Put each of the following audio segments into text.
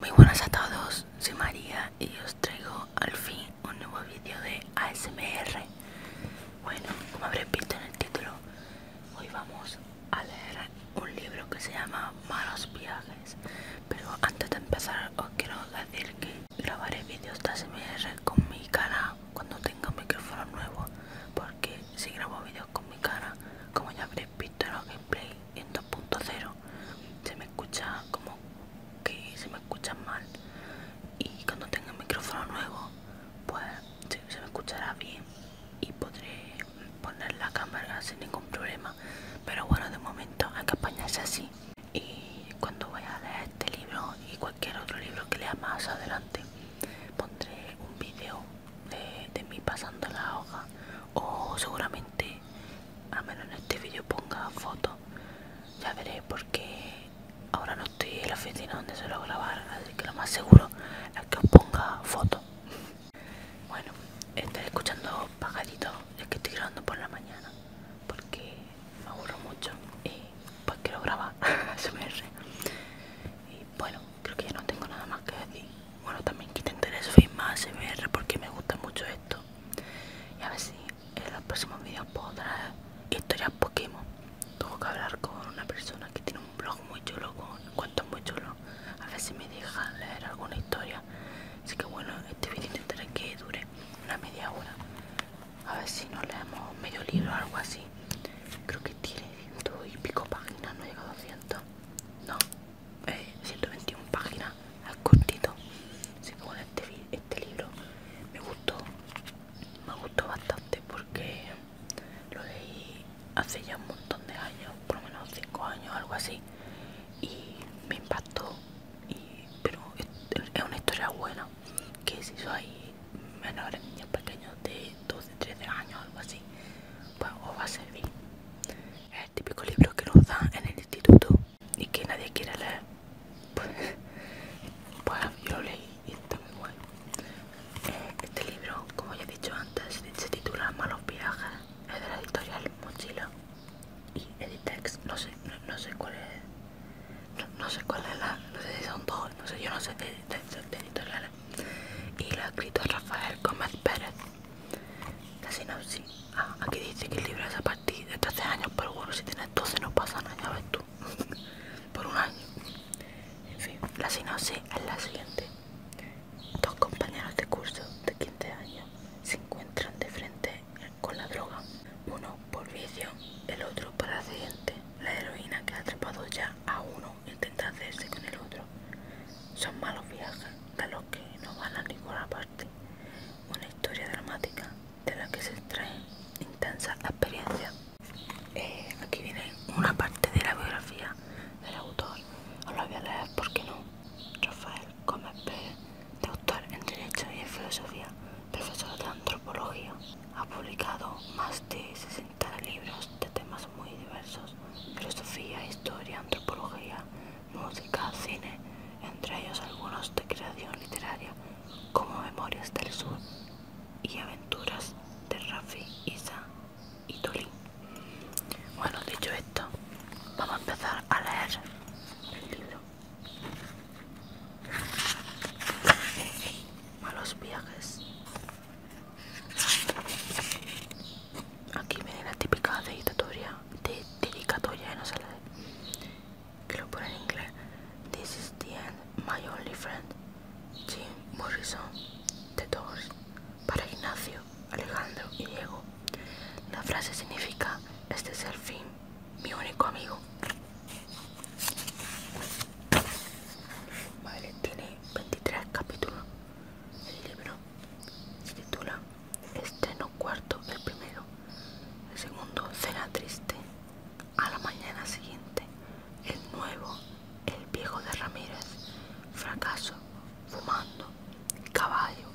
Muy buenas a todos, soy María y os traigo al fin un nuevo vídeo de ASMR. Bueno, como habréis visto en el título, hoy vamos a leer un libro que se llama Malos Viajes. Pero antes de empezar os quiero decir que grabaré vídeos de ASMR con mi cara cuando tenga un micrófono nuevo. Porque si grabo vídeos con mi cara, como ya habréis pero los Play en 2.0 se me escucha como que se me escucha mal y cuando tenga el micrófono nuevo pues se, me escuchará bien y podré poner la cámara sin ningún problema pero bueno de momento hay que apañarse así y cuando vaya a leer este libro y cualquier otro libro que lea más adelante pondré un vídeo de, de mí pasando la hoja o seguramente a menos en este vídeo ponga fotos ya veré porque ahora no estoy en la oficina donde suelo grabar así que lo más seguro es que os ponga fotos bueno estaré escuchando pajaritos ya que estoy grabando por la mañana porque me aburro mucho y pues quiero grabar se me y bueno creo que ya no tengo nada más que decir bueno, también que intentaré subir más ver porque me gusta mucho esto. Y a ver si en los próximos vídeos puedo traer historias Pokémon. Tengo que hablar con una persona que tiene un blog muy chulo, con cuentos muy chulos. A ver si me deja leer alguna historia. Así que bueno, este vídeo intentaré que dure una media hora. A ver si nos leemos medio libro o algo así. Creo que tiene ciento y pico páginas, no llega a 200. No. 121 páginas al cortito así que bueno este, este, libro me gustó me gustó bastante porque lo leí hace ya un montón de años por lo menos 5 años algo así y me impactó pero es, una historia buena que si sois menores niños pequeños de 12 13 años algo así pues os va a servir típico libro que nos dan en el instituto y que nadie quiere leer. Pues, pues yo lo leí y está muy bueno. Eh, este libro, como ya he dicho antes, se titula Malos Viajes, es de la editorial Mochila y Editex, no sé, no, sé cuál es, no, sé cuál es la, no sé si son dos, no sé, yo no sé de, editoriales. Y lo ha escrito Rafael Gómez Pérez. La sinopsis. Ah, aquí dice que el libro es a partir de 13 años, pero bueno, si tienes 12 no pasa nada, ya ves tú. Por un año. En fin, la sinopsis es la siguiente. Dos compañeros de curso de 15 años se encuentran de frente con la droga. Uno por vicio, el otro por accidente. La heroína que ha atrapado ya a uno intenta hacerse con el otro son malos viajes de los que no van a ninguna parte, una historia dramática de la que se extraen intensas experiencias. Eh, aquí viene una parte de la biografía del autor, os la voy a leer porque no. Rafael Gómez Pérez, doctor en Derecho y en Filosofía, profesor de Antropología, ha publicado más de 60 libros de temas muy diversos, filosofía, historia, antropología, música, cine, entre ellos algunos de creación literaria como Memorias del Sur y Aventuras de Rafi, Isa y Tolín. Bueno, dicho esto, vamos a empezar a leer el libro. Malos viajes aquí viene la típica dedicatoria, de, no sé que lo pone en inglés. This is the end, my only friend, Jim Morrison, The Doors, para Ignacio, Alejandro y Diego. La frase significa, este es el fin, mi único amigo. Vale, tiene 23 capítulos el libro se titula Estreno cuarto el primero. El segundo cena triste. A la mañana siguiente, el nuevo, el viejo de Ramírez, fracaso, fumando, caballo,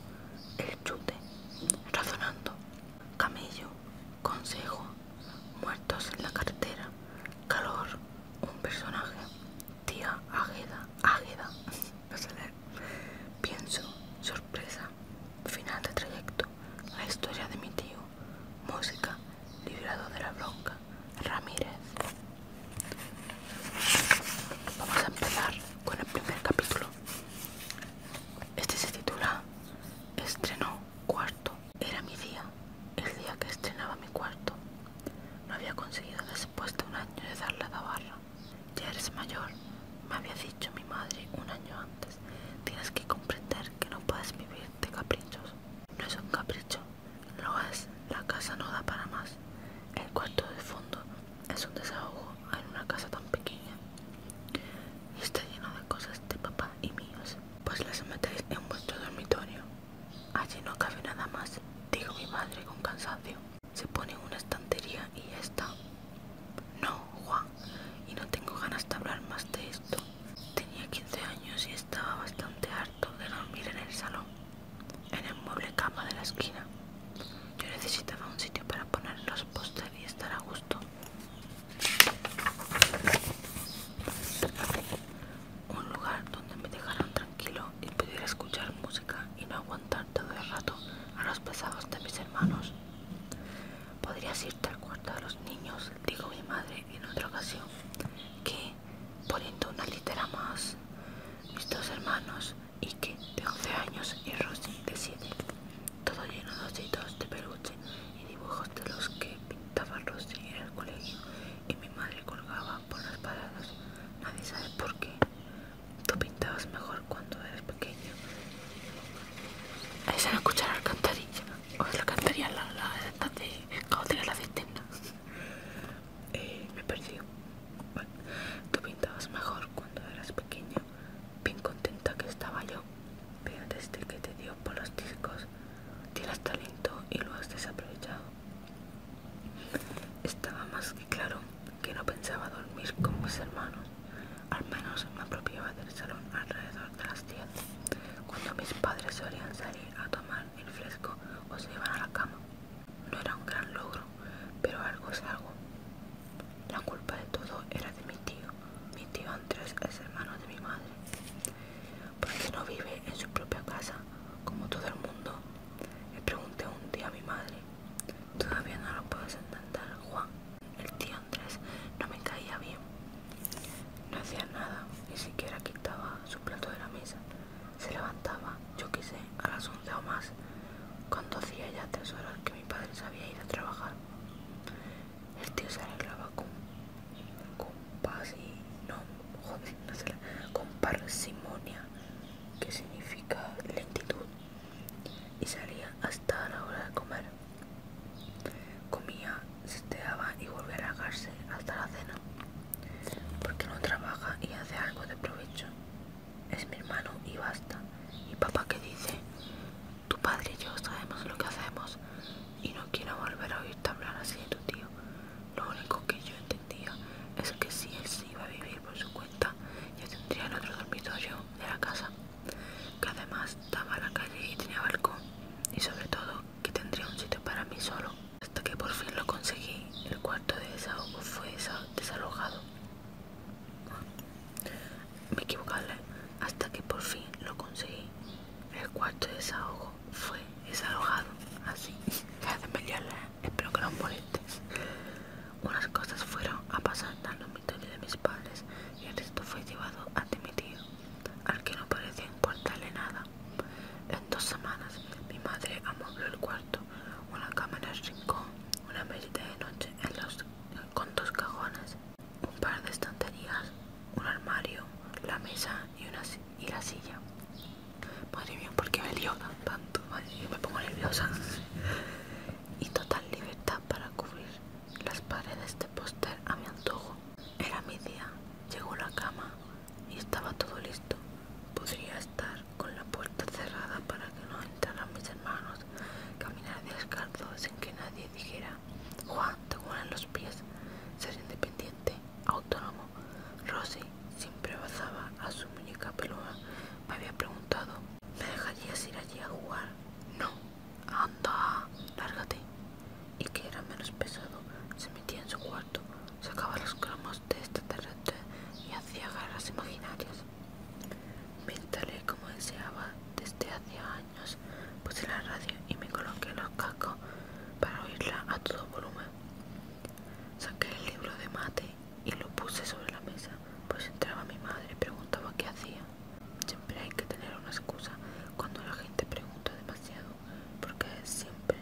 el chute, razonando, camello, consejo, muertos en la carretera, calor, un personaje, Tía Águeda, Águeda, no sé leer. Pienso, sorpresa, final de trayecto, la historia de mi tío, música, liberado de la bronca, Ramírez. Vamos a empezar con el primer capítulo. Este se titula Estrenó cuarto. Era mi día, el día que estrenaba mi cuarto. No había conseguido después de un año de darle a la Ya eres mayor, me había dicho mi madre un año antes. Tienes que comprender que no puedes vivir de caprichos. No es un capricho, lo es. La casa no da para más. El cuarto de fondo es un desahogo en una casa tan pequeña. Y está lleno de cosas de papá y míos. Pues las metéis en vuestro dormitorio. Allí no cabe nada más, dijo mi madre con cansancio. Se pone una estantería y ya está. No, Juan, y no tengo ganas de hablar más de esto. Tenía 15 años y estaba bastante harto de dormir en el salón, en el mueble cama de la esquina. Yo necesitaba un sitio para poner los postres y estar a gusto un lugar donde me dejaran tranquilo y pudiera escuchar música y no aguantar todo el rato a los pesados de mis hermanos. Podrías irte al cuarto de los niños, dijo mi madre en otra ocasión, que, poniendo una litera más, mis dos hermanos, que de 11 años y Rosie de 7, todo lleno de ositos de peluche y dibujos de los que pintaba Rosie en el colegio, y mi madre colgaba por las paradas. Nadie sabe por qué. Tú pintabas mejor cuando eras pequeño. Ahí se me escuchar la cantarilla O es la cantarilla la, la, la de la cisterna. Eh, me perdí. tú pintabas mejor cuando eras pequeño. Bien contenta que estaba yo. Pero desde que te dio por los discos, tienes talento y lo has desaprovechado. Estaba más que claro que no pensaba dormir con mis hermanos, al menos me apropiaba del salón alrededor de las 10, cuando mis padres solían salir a tomar el fresco o se iban a la cama. No era un gran logro, pero algo es algo. La culpa de todo era de mi tío. Mi tío Andrés es hermano de mi madre. Porque no vive en su propia casa, como todo el mundo, le pregunté un día a mi madre. Todavía no lo puedes entender, Juan. El tío Andrés no me caía bien. No hacía nada, ni siquiera quitaba su plato de la mesa. Se levantaba, yo quise, a las once o más, cuando hacía ya tres horas que mi padre se había ido a trabajar. El tío se arreglaba con paz y no con parsimonia, que significa lentitud, y salía hasta la hora de comer. Comía, se sesteaba y volvía a largarse hasta la cena, porque no trabaja y hace algo de provecho. Es mi hermano y basta. Y papá que dice, tu padre y yo sabemos lo que hacemos y no quiero volver a oírte hablar así de tu tío. Lo único que yo es que si él se iba a vivir por su cuenta, ya tendría el otro dormitorio de la casa, que además estaba a la calle y tenía balcón, y sobre todo que tendría un sitio para mí solo. Hasta que por fin lo conseguí, el cuarto de desahogo fue desalojado. Me equivocarle ¿eh? hasta que por fin lo conseguí. El cuarto de desahogo fue desalojado, así que hacen pelearla, espero que no moleste. Unas cosas fueron a pasar al dormitorio de mis padres y el resto fue llevado ante mi tío, al que no parecía importarle nada. En dos semanas mi madre amobló el cuarto, una cama en el rincón, una mesita de noche con dos cajones, un par de estanterías, un armario, la mesa y, la silla. Madre mía, porque me lío tanto? Madre me pongo nerviosa. Y total libertad para cubrir las paredes de póster a mi antojo. Era mi día, llegó la cama y estaba todo listo. Podría estar con la puerta cerrada para que no entraran mis hermanos, caminar descalzo sin que nadie dijera, Juan, te en los pies, ser independiente, autónomo Rosy siempre abrazaba a su muñeca peluda. Me había preguntado, ¿me dejarías ir allí a jugar? No. Anda, lárgate. Y que era menos pesado, se metía en su cuarto, sacaba los cromos de extraterrestre este y hacía garras imaginarias. Me como deseaba desde hacía años. Puse la radio y me coloqué los cascos para oírla a todo volumen. Saqué el libro de mate y lo puse sobre la mesa, pues entraba mi madre y preguntaba qué hacía. Siempre hay que tener una excusa cuando la gente pregunta demasiado, porque siempre,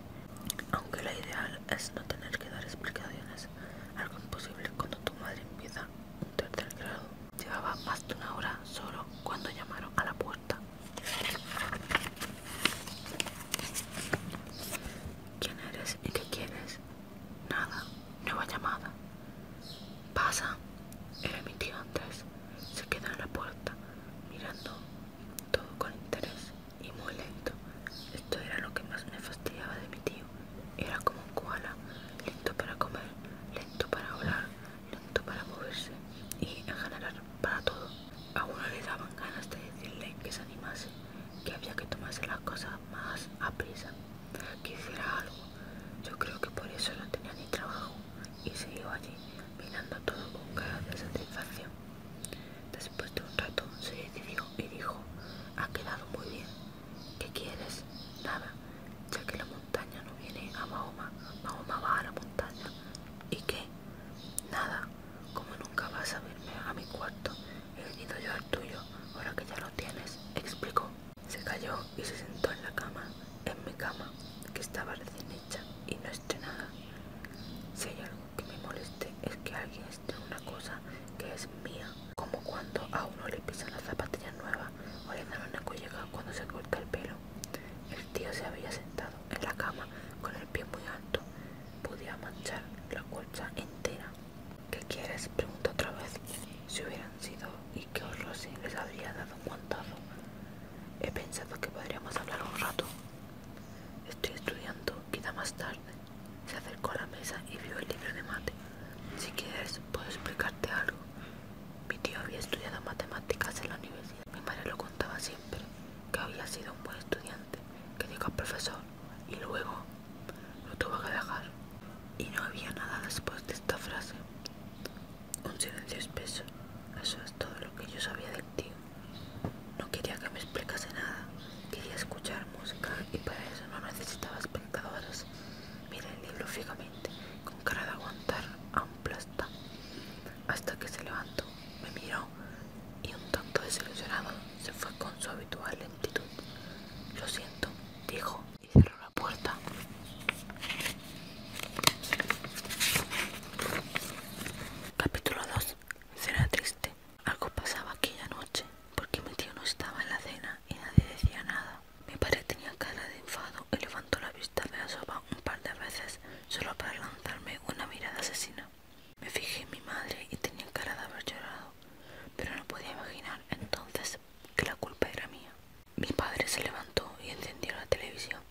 aunque la ideal es no tener que dar explicaciones, algo imposible cuando tu madre empieza un tercer grado. Llevaba más de una hora solo cuando llamaron a la puerta. ¿Quién eres y qué quieres? Nada, nueva llamada. Pasa. Era mi tío Andrés. Se queda en la puerta, mirando todo con interés y muy lento. Esto era lo que más me fastidiaba de mi tío. Era como un koala, lento para comer, lento para hablar, lento para moverse y en general para todo. A uno le daban ganas de decirle que se animase, que había que tomarse las cosas más a prisa, que hiciera algo. Yo creo que por eso no tenía ni trabajo y iba allí mirando todo con cara de satisfacción. Después de un rato se decidió y dijo, ha quedado muy bien. ¿Qué quieres? Nada, ya que la montaña no viene a Mahoma, Mahoma va a la montaña. ¿Y qué? Nada. Como nunca vas a verme a mi cuarto, he venido yo al tuyo, ahora que ya lo tienes, explicó. Se cayó y se sentó en la cama, en mi cama, que estaba recién hecha y no estrenada. Si hay algo que me moleste es que alguien esté una cosa que es mía, como cuando a uno le pisan las zapatillas nuevas o le dan una collega cuando se corta el pelo. El tío se había sentado en la cama con el pie muy alto. Podía manchar la colcha entera. ¿Qué quieres? Pregunta otra vez. Si hubieran sido y qué horror si les habría dado un guantazo. He pensado que podríamos hablar un rato. Estoy estudiando, quizá más tarde. Se acercó a la mesa y vio el libro de mate. Si quieres, puedo explicarte algo. Mi tío había estudiado matemáticas en la universidad. Mi madre lo contaba así que había sido un buen estudiante, que llegó profesor y luego lo tuvo que dejar. Y no había nada después de esta frase. Un silencio espeso. Eso es todo lo que yo sabía del tío. No quería que me explicase nada. Quería escuchar música y para eso no necesitaba espectadores. Miré el libro fijamente, con cara de aguantar a un hasta que se levantó me miró y un tanto desilusionado se fue con su habitual lentitud. Lo siento, dijo y cerró la puerta. Capítulo 2. Será triste. Algo pasaba aquella noche porque mi tío no estaba en la cena y nadie decía nada. Mi padre tenía cara de enfado y levantó la vista de la sopa un par de veces solo para hablar darme una mirada asesina. Me fijé en mi madre y tenía cara de haber llorado, pero no podía imaginar entonces que la culpa era mía. Mi padre se levantó y encendió la televisión.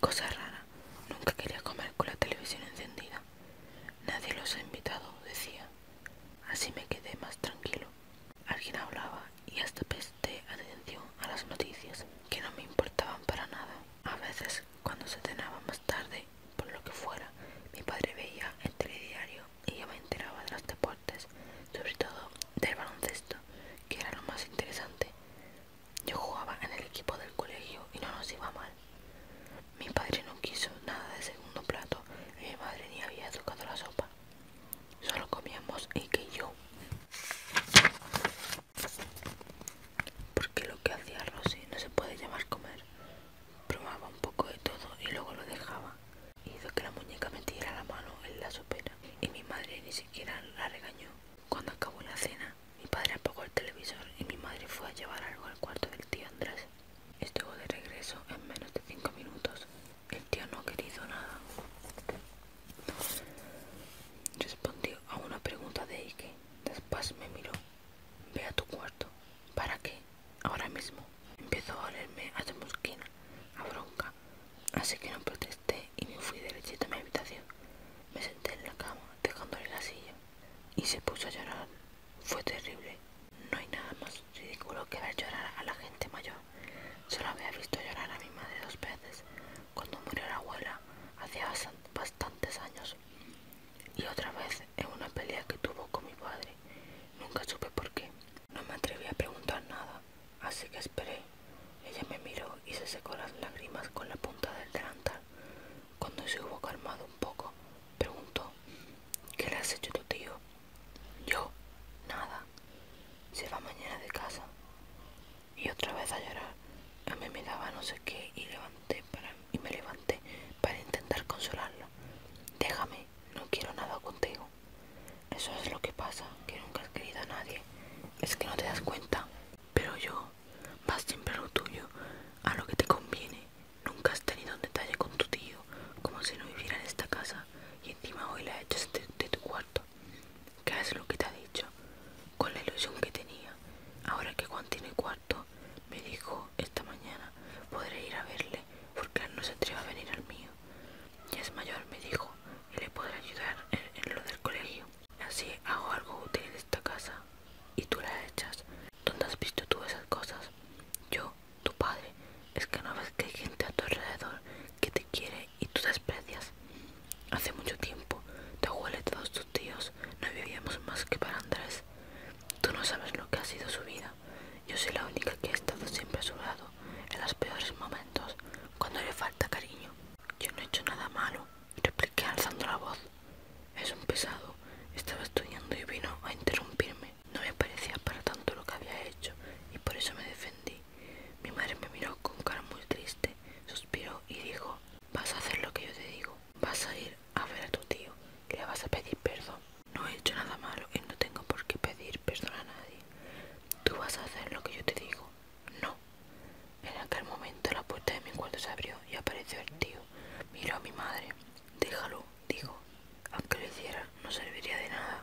Cosa rara, nunca quería comer con la televisión encendida. Nadie los ha invitado, decía. Así me quedé más tranquilo. Alguien hablaba y hasta presté atención a las noticias, que no me importaban para nada. A veces, cuando se cenaba más tarde, por lo que fuera, mi padre veía el telediario y yo me enteraba de los deportes, sobre todo del baloncesto, que era lo más interesante. Yo jugaba en el equipo del colegio y no nos iba mal. Mi padre no quiso nada de segundo plato y mi madre ni había tocado la sopa. Solo comíamos y que yo. Porque lo que hacía Rosy no se puede llamar comer. Probaba un poco de todo y luego lo dejaba. Hizo que la muñeca metiera la mano en la sopera y mi madre ni siquiera la regañó. Cuando acabó la cena, mi padre apagó el televisor y mi madre fue a llevar algo al cuarto del tío Andrés. Estuvo de regreso en menos de 5 minutos. El tío no ha querido nada. Respondió a una pregunta de Ike. Después me miró. Ve a tu cuarto. ¿Para qué? Ahora mismo. Empezó a olerme a tu mosquina, a bronca. Así que no protesté y me fui derechito a mi habitación. Me senté en la cama, dejándole la silla. Y se puso a llorar. Fue terrible. No hay nada más ridículo que ver llorar a la gente mayor. Solo había visto llorar a mi madre dos veces. Cuando murió la abuela Hacía hace bastantes años y otra vez en una pelea que tuvo con mi padre. Nunca supe por qué. No me atreví a preguntar nada, así que esperé. Ella me miró y se secó las lágrimas con la punta del delantal. Cuando se hubo calmado un poco, preguntó, ¿qué le has hecho tu tío? Yo, nada. Se va mañana de casa y otra vez a llorar. A mí me daba no sé qué y, levanté para, y me levanté para intentar consolarla. Déjame, no quiero nada contigo. Eso es lo que pasa, que nunca has querido a nadie. Es que no te das cuenta. Pero yo, vas siempre a lo tuyo, a lo que te conviene. Nunca has tenido un detalle con tu tío, como si no viviera en esta casa. Y encima hoy la echas de tu cuarto que hace lo que te ha dicho, con la ilusión que tenía. Ahora que Juan tiene cuarto, me dijo esta mañana, podré ir a verle, porque no se atreve a venir al mío. y es mayor, me dijo, y le podré ayudar en, en lo del colegio. Así hago algo útil en esta casa, y tú la echas. ¿Dónde has visto tú esas cosas? Yo, tu padre, es que no ves que hay gente a tu alrededor que te quiere y tú desprecias. Hace mucho tiempo, tu huele todos tus tíos no vivíamos más que para Andrés. Tú no sabes lo que ha sido su vida. Yo soy la única que ha estado siempre a su lado, en los peores momentos, cuando le falta cariño. Yo no he hecho nada malo, repliqué alzando la voz. Es un pesado. Estaba estudiando y vino a interrumpirme. No me parecía para tanto lo que había hecho y por eso me defendí. Mi madre me miró con cara muy triste, suspiró y dijo, vas a hacer lo que yo te digo, vas a ir a ver a tu tío, le vas a pedir perdón. No he hecho nada malo y no tengo por qué pedir perdón a nadie. Tú vas a hacer lo que yo te digo. No. En aquel momento la puerta de mi cuarto se abrió y apareció el tío. Miró a mi madre. Déjalo, dijo. Aunque lo hiciera, no serviría de nada.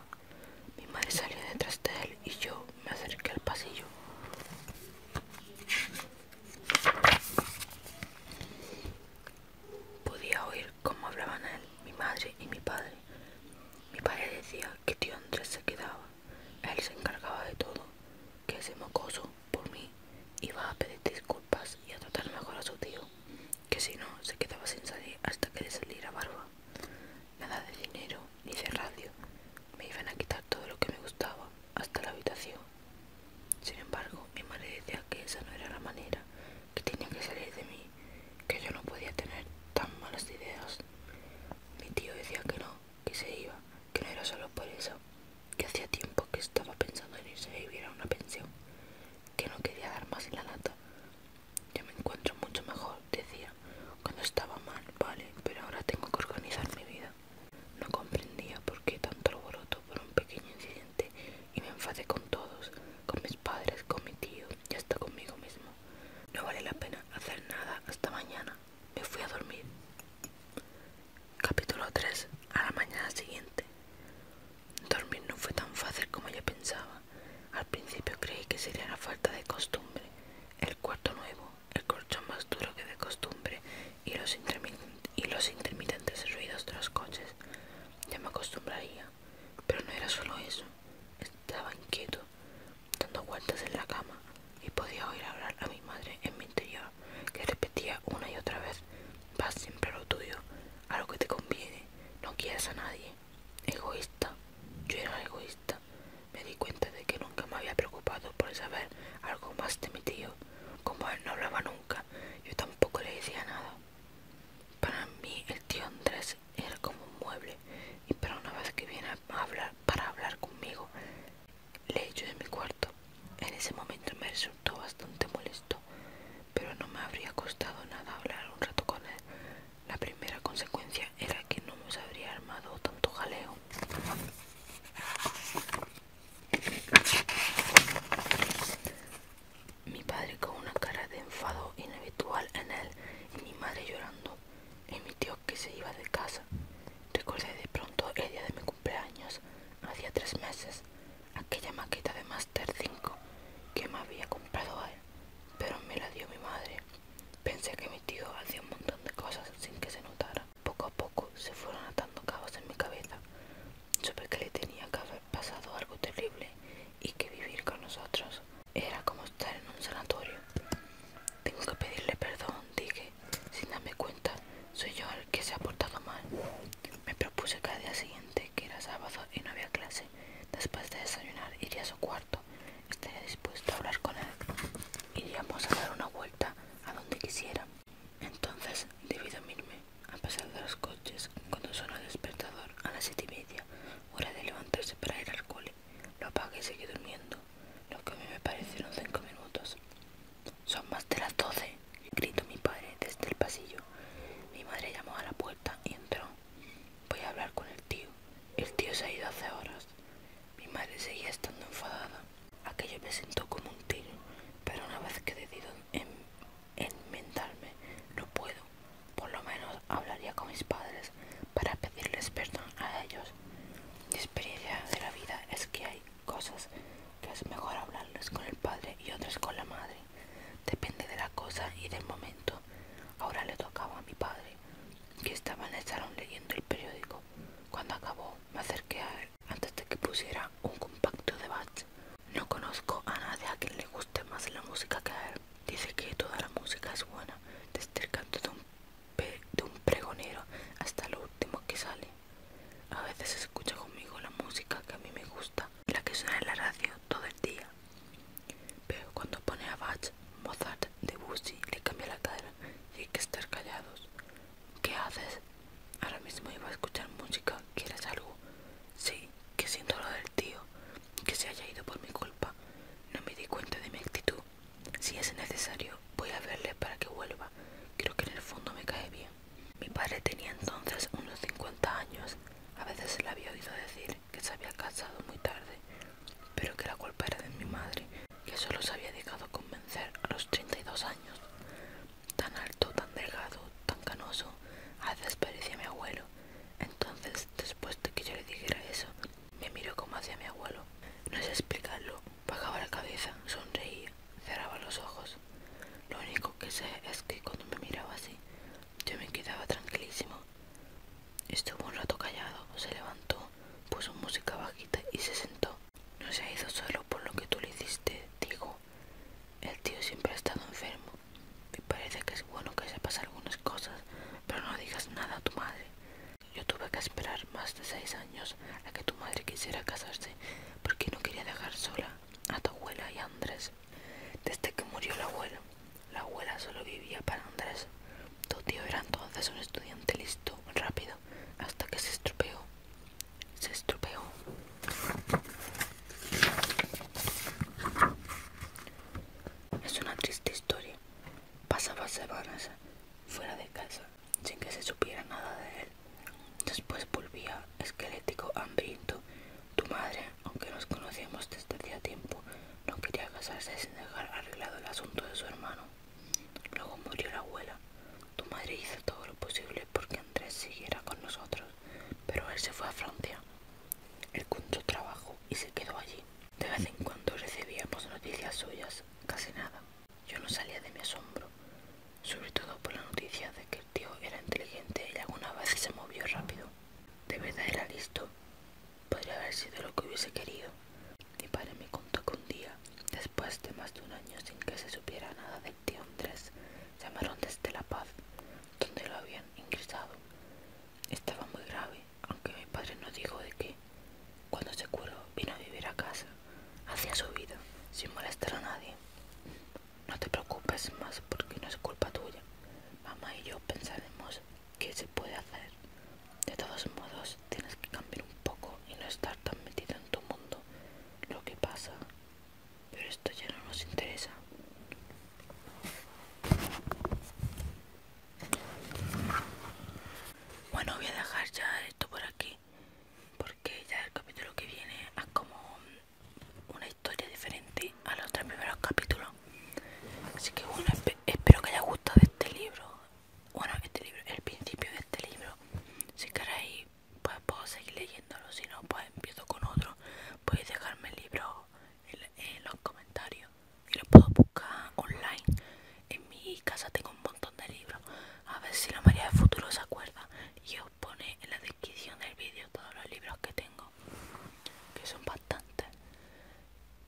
Mi madre salió detrás de él y yo me acerqué al pasillo podía oír cómo hablaban él, mi madre y mi padre mi padre decía que tío Andrés se quedaba él se encargaba de todo que ese mocoso por mí iba a pedir disculpas y a tratar mejor a su tío que si no se quedaba sin salir hasta que le saliera barba nada de dinero ni de radio. Me iban a quitar todo lo que me gustaba, hasta la habitación. Sin embargo, mi madre decía que esa no era la manera, que tenía que salir de mí, que yo no podía tener tan malas ideas. Mi tío decía que no, que se iba, que no era solo por eso, que hacía tiempo que estaba pensando en irse a vivir a una pensión, que no quería dar más en la lata. Ya me encuentro mucho mejor decía, cuando estaba mal, vale, pero ahora tengo que organizar mi vida. No comprendía por qué tanto alboroto por un pequeño incidente y me enfadé con todos, con mis padres, con mi tío y hasta conmigo mismo. No vale la pena hacer nada hasta mañana. Me fui a dormir. Capítulo 3. A la mañana siguiente. Dormir no fue tan fácil como yo pensaba. Al principio creí que sería la falta de costumbre, el cuarto nuevo, el colchón más duro que de costumbre y los, intermitentes ruidos de los coches. Ya me acostumbraría, pero no era solo eso. Estaba inquieto, dando vueltas en la cama y podía oír hablar a mi madre en mi interior, que repetía una y otra vez, vas siempre a lo tuyo, a lo que te conviene, no quieras a nadie. Egoísta, yo era egoísta. Me di cuenta de que nunca me había preocupado por saber algo más de mi tío. Como él no hablaba nunca, yo tampoco le decía nada. Para mí el tío Andrés era como un mueble, y para una vez que viene a hablar para hablar conmigo, le echo de mi cuarto. En ese momento me resultó bastante molesto, pero no me habría costado nada hablar un rato con él la primera consecuencia era que no nos habría armado tanto jaleo. Mi padre con una cara de enfado inhabitual en él y mi madre llorando y mi tío que se iba de casa. Recordé de pronto el día de mi cumpleaños, hacía tres meses, aquella maqueta de Master 5 que me había comprado él, pero me la dio mi madre. Pensé que mi tío hacía un montón de cosas sin que se notara. Poco a poco se fueron atando cabos en mi cabeza. Supe que le tenía que haber pasado algo terrible y que vivir con nosotros era como estar en un sanatorio. Tengo que pedirle perdón, dije. Sin darme cuenta, soy yo el que se ha portado mal. Me propuse que al día siguiente, que era sábado y no había clase, después de desayunar iría a su cuarto estaría dispuesto a hablar con él. Iríamos a dar una vuelta a donde quisiera. Entonces debí dormirme, a pesar de los coches, cuando suena el despertador a las siete y media, hora de levantarse para ir al cole. Lo apagué y seguí durmiendo, lo que a mí me parecieron cinco minutos. Son más de las doce, gritó mi padre desde el pasillo. Mi madre llamó a la puerta y entró. Voy a hablar con el tío. El tío se ha ido hace horas. Mi madre seguía estando enfadada. Aquello me sentó como un tiro, pero una vez que he decidido en no puedo. Por lo menos hablaría con mis padres para pedirles perdón a ellos. Mi experiencia de la vida es que hay cosas que es mejor hablarles con el padre y otras con la madre. Depende de la cosa y del momento. Ahora le tocaba a mi padre que estaba en el salón leyendo el periódico. Cuando acabó, me acerqué a él antes de que pusiera un compacto de Bach. No conozco a nadie a quien le guste más la música que a él. Dice que toda la música es buena, desde el canto de un, de un pregonero hasta lo último que sale. A veces escucha conmigo la música que a mí me gusta, la que suena en la radio todo el día. Pero cuando pone a Bach, Mozart, Debussy le cambia la cara y hay que estar callados. ¿Qué haces? Ahora mismo iba a escuchar música. ¿Quieres algo? Sí, que siento lo del tío, que se haya ido por mi culpa. No me di cuenta de mi actitud. Si es necesario, voy a verle para que vuelva. Creo que en el fondo me cae bien. Mi padre tenía entonces unos 50 años. A veces se le había oído decir que se había casado muy tarde, pero que la culpa era de mi madre, que solo se había dejado convencer a los 32 años. Tan alto, tan delgado, tan canoso, a veces mi abuelo. Entonces, después de que yo le dijera eso, me miró como hacia mi abuelo. No sé explicarlo, bajaba la cabeza, sonreía, cerraba los ojos. Lo único que sé es que cuando me miraba así, yo me quedaba tranquilísimo. Estuvo un rato callado, se levantó, puso música bajita y se sentó. No se ha ido solo por lo que tú le hiciste, digo El tío siempre ha estado enfermo. Me parece que es bueno que sepas algunas cosas, pero no digas nada a tu madre. Yo tuve que esperar más de seis años a que tu madre quisiera casarse porque no quería dejar sola a tu abuela y a Andrés. Desde que murió el abuelo. La abuela solo vivía para Andrés. Tu tío era entonces un estudiante listo, rápido, hasta que se estropeó. Se estropeó. Es una triste historia. Pasaba semanas fuera de casa sin que se supiera nada de él. Después volvía esquelético, hambriento. Tu madre, aunque nos conocíamos desde hacía tiempo, no quería casarse sin dejar arreglado el asunto de su hermano. Luego murió la abuela. Tu madre hizo todo lo posible porque Andrés siguiera con nosotros, pero él se fue a Francia. Él tu trabajo y se quedó allí. De vez en cuando recibíamos noticias suyas, casi nada. Yo no salía de mi asombro, sobre todo por la noticia de que el tío era inteligente y alguna vez se movió rápido. De verdad era listo, Podría haber sido lo que hubiese querido. Mi padre me contó que un día, después de más de un año sin que se supiera nada del tío Andrés, llamaron desde La Paz, donde lo habían ingresado. Estaba muy grave, aunque mi padre no dijo de qué. Cuando se curó, vino a vivir a casa, hacía su vida, sin molestar a nadie. No te preocupes más porque no es culpa tuya. Mamá y yo pensaremos que se puede hacer. De todos modos, tienes que cambiar un poco y no estar tan metido en tu mundo. Lo que pasa, pero esto ya no nos interesa. Bueno, voy a dejar ya esto por aquí, porque ya el capítulo que viene es como una historia diferente a los tres primeros capítulos. Así que bueno, espero que haya gustado este libro. Bueno, este libro, el principio de este libro. Si queréis, pues puedo seguir leyéndolo. Si no, pues empiezo con otro. Podéis dejarme el libro en, los comentarios. Y lo puedo buscar online. En mi casa tengo un montón de libros. A ver si la María del Futuro se acuerda. Y os pone en la descripción del vídeo todos los libros que tengo. Que son bastantes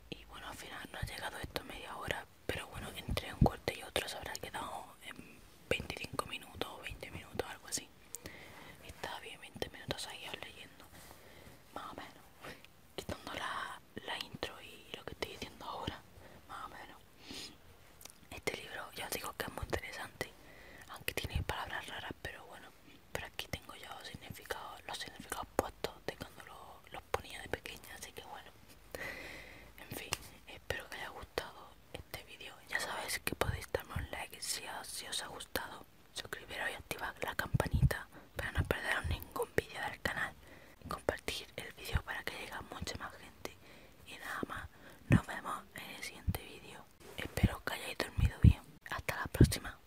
y bueno al final no ha llegado esto media hora pero bueno entre un corte y otro se habrá quedado en 25 minutos o 20 minutos algo así estaba bien 20 minutos ahí leyendo más o menos quitando la, la intro y lo que estoy diciendo ahora más o menos este libro ya os digo que es muy interesante aunque tiene palabras raras pero bueno pero aquí tengo yo significados los significados puestos de cuando los ponía de pequeña, así que bueno. En fin, espero que haya gustado este vídeo. Ya sabéis que podéis darme un like si, os ha gustado. Suscribiros y activar la campanita para no perderos ningún vídeo del canal. Compartir el vídeo para que llegue a mucha más gente. Y nada más, nos vemos en el siguiente vídeo. Espero que hayáis dormido bien. Hasta la próxima.